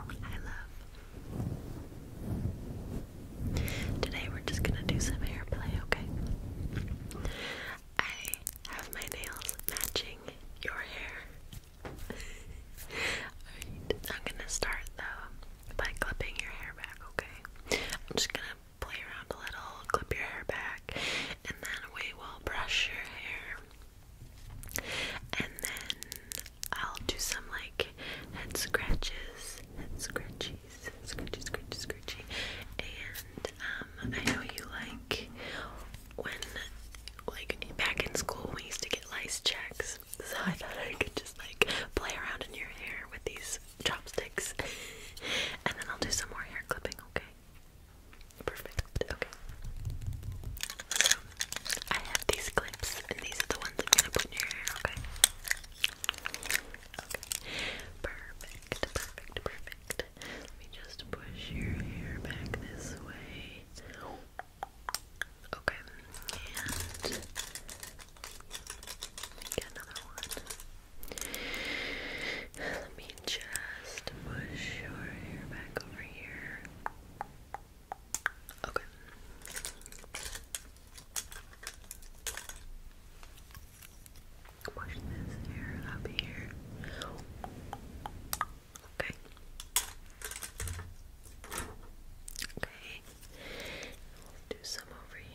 Hi, love. Today we're just gonna do some hair play, okay? I have my nails matching your hair. I'm gonna start though by clipping your hair back, okay? I'm just gonna play around a little, clip your hair back, and then we will brush your hair and then I'll do some like head scratches, head scratchies, scratchy, scratchy, scratchy. And um, I know you like when, like back in school, we used to get lice checks. So I thought I could just like play around in your hair with these chopsticks. and then I'll do some more hair clipping, okay? Perfect. Okay. So I have these clips, and these are the ones I'm gonna put in your hair. Okay. Okay. Perfect. Perfect. Perfect. Let me just push your hair back this way. Okay. And get another one. Let me just push your hair back over here. Okay. Push this hair up here. Okay. Okay. do some over here.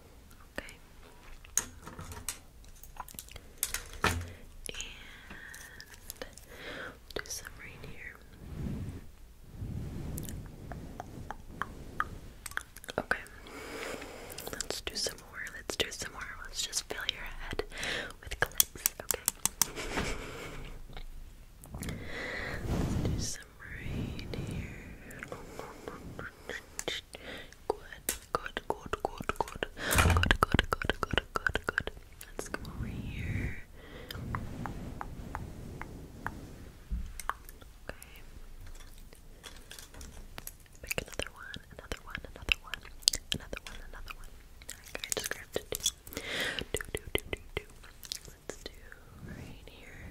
Okay. And do some right here. Okay. Let's do some more. Let's do some more. Let's just fill your head with clips. Okay. do some right here. Good, good, good, good, good. Good, good, good, good, good, Let's come over here. Okay. Pick another one, another one, another one, another one, another one. Okay, I just grabbed Two, do, do, do, do, do. Let's do right here.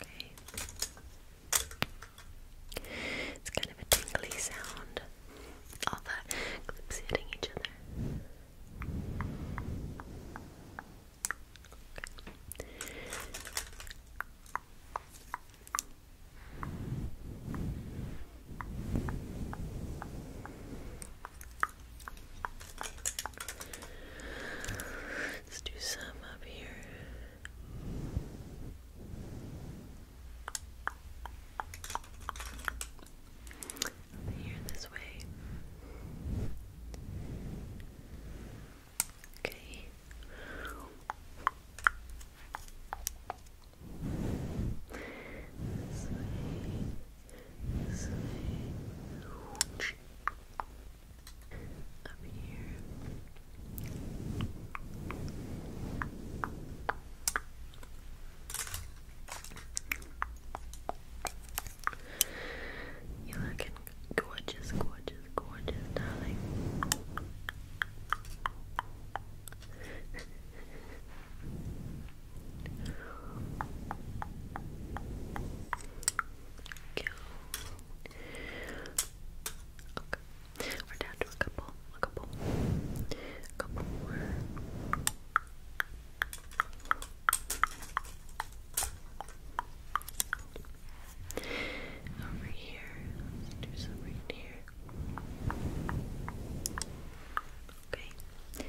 Okay. It's kind of a tingly sound. All the clips hitting each other. Let's do some up here. here this way. Okay up You're gorgeous, gorgeous, gorgeous, darling. Cute. Okay. We're down to a couple. A couple. couple more. Over here. Let's do some right here. Okay. And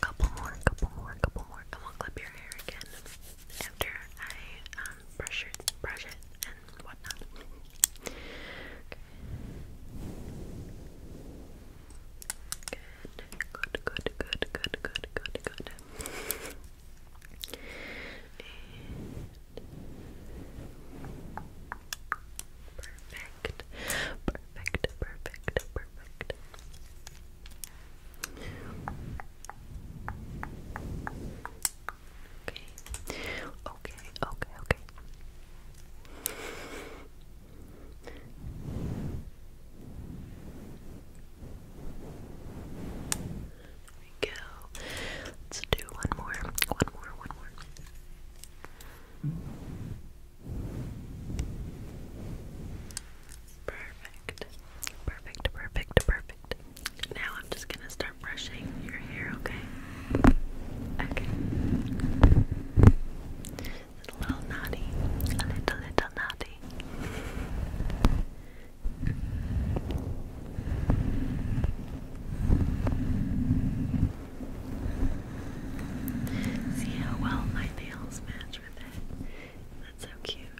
Couple more, couple more, couple more, and we'll clip your hair again after I um, brush it, brush it, and whatnot. Okay. Good, good, good, good, good, good, good, perfect, perfect, perfect, perfect. Okay. Okay, okay, okay. There we go. Let's do one more. One more, one more. Perfect. Perfect, perfect, perfect. Now I'm just gonna start brushing your hair, okay? Okay. a little naughty. A little, little naughty. See how well my nails match with it? That's so cute.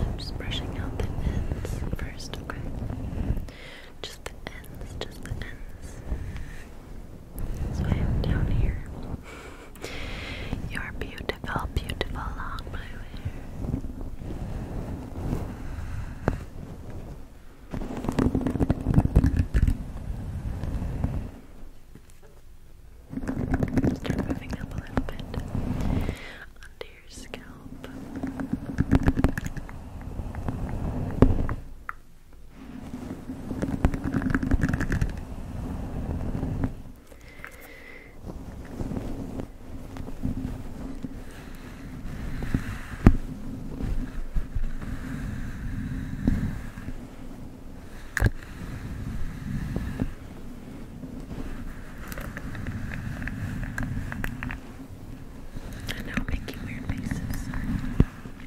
I'm just brushing out the ends first, okay? Just the ends, just the ends swim down here. Your beautiful, beautiful long blue hair. Start moving up a little bit onto your scalp. And now I'm making weird faces.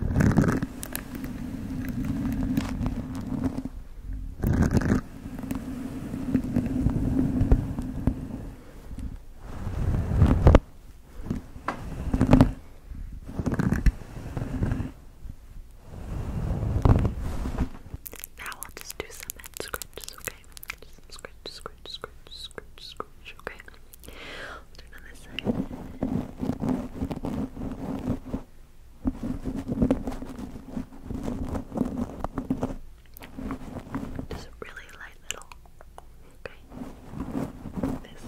Now I'll just do some head scratches, okay? Just some scratch, scratch, scratch, scratch, scratch, okay? I'll turn on this side. Just really light little. Okay. This.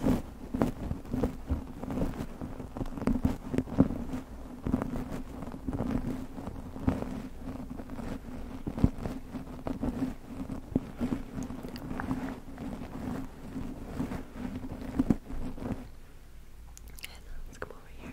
And let's come over here.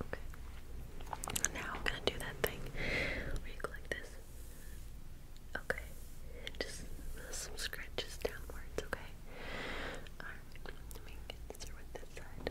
Okay. Now gonna do that thing where like this. Okay. Just some scratches downwards, okay? Alright, let me get through with this side.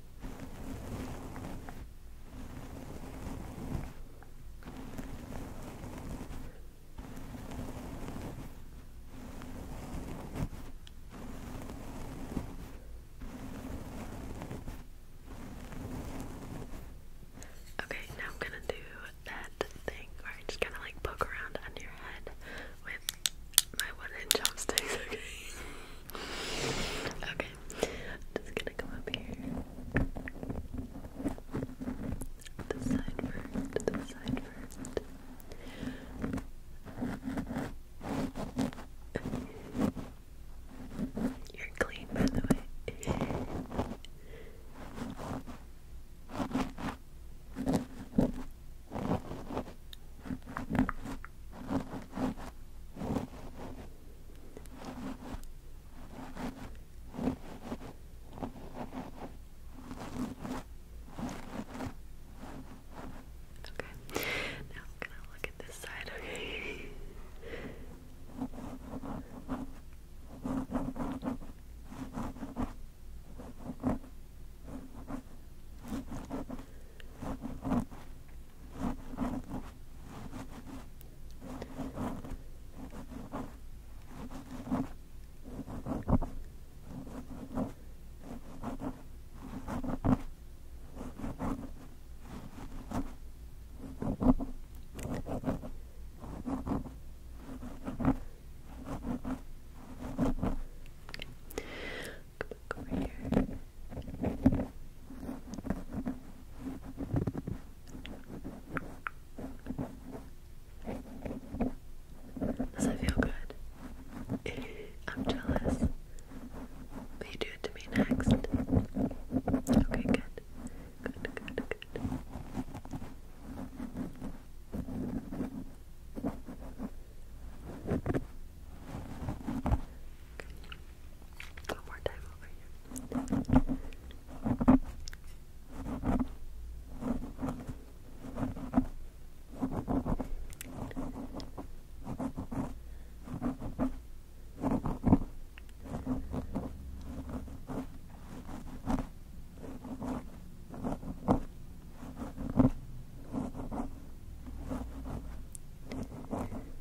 Okay, now I'm gonna do that thing where I just kind of like poke around on your head with my wooden chopsticks, okay? Okay, just gonna come up here. This side first, this side first. You're clean, by the way. Okay, now I'm gonna look at this side, okay? Come back over here. Does it feel good? I'm jealous. you do it to me next? Okay, good. Good, good, good. Okay. One more time over here.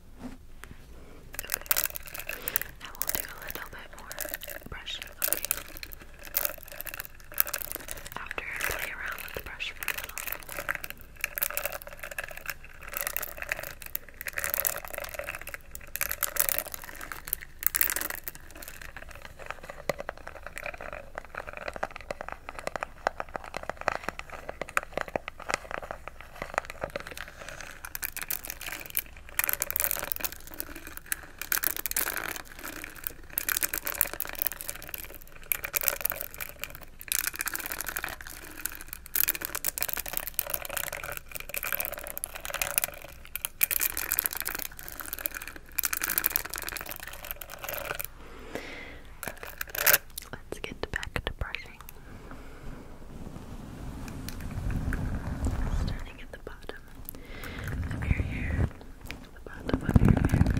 Okay. I will do a little bit more brushing, okay? After play around with the brush for a little Let's get back to brushing brushing. Starting at the bottom of your hair. The bottom of your hair.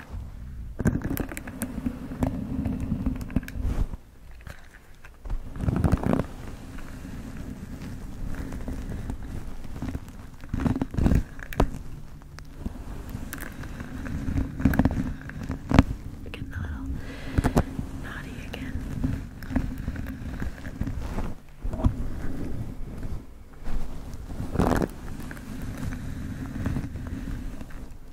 We're getting a little naughty again.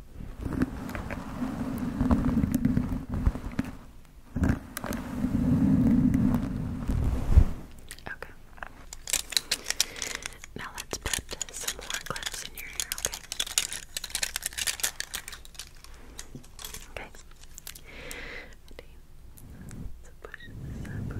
Okay. Now let's put some more clips in your hair, okay? Okay. Ready? push this up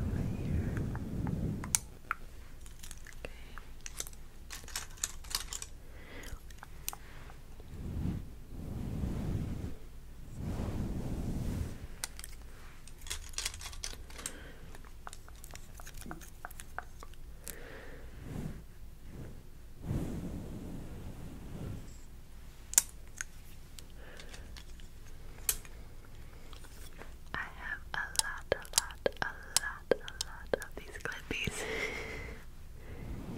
I have a lot, a lot, a lot, a lot of these clippies.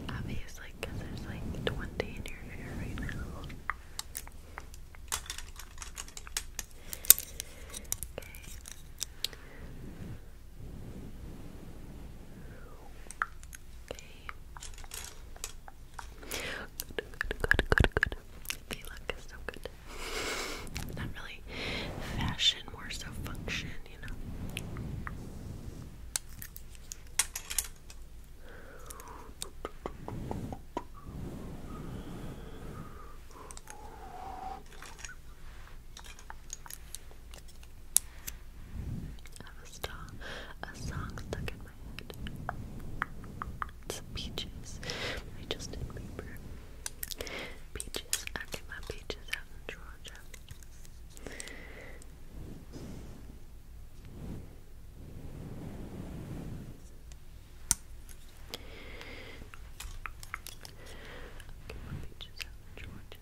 Obviously, because there's like 20 in your hair right now. Okay. Okay. Good, good, good, good. They look so good. Not really fashion, more so function, you know have a star, a song stuck in my head. It's peaches. I just did paper. Peaches. I get my peaches out in Georgia beaches out in Georgia. Okay.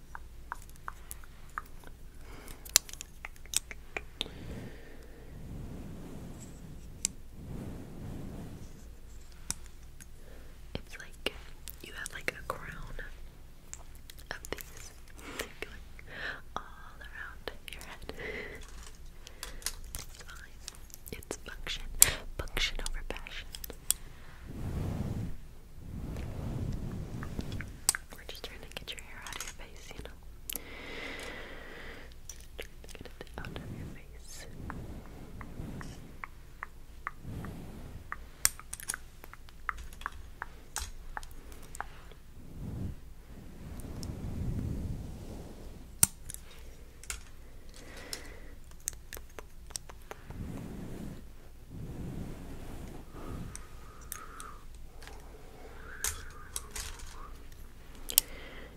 It's like you have like a crown of these going all around your head. It's fine. It's function. Function over passion. We're just trying to get your hair out of your face, you know. Trying to get it out of your face.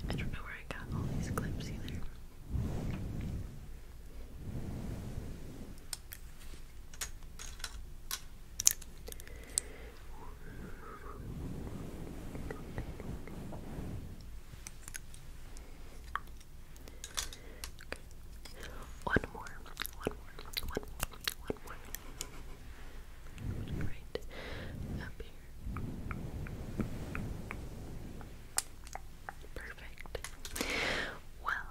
I don't know where I got all these clips either. Okay. One more. One more. One more. One more. Right up here. Perfect. Well,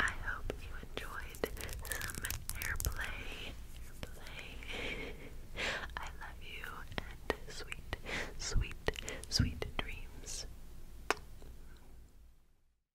I hope you enjoyed some hair play. Hair play. I love you and sweet, sweet, sweet dreams.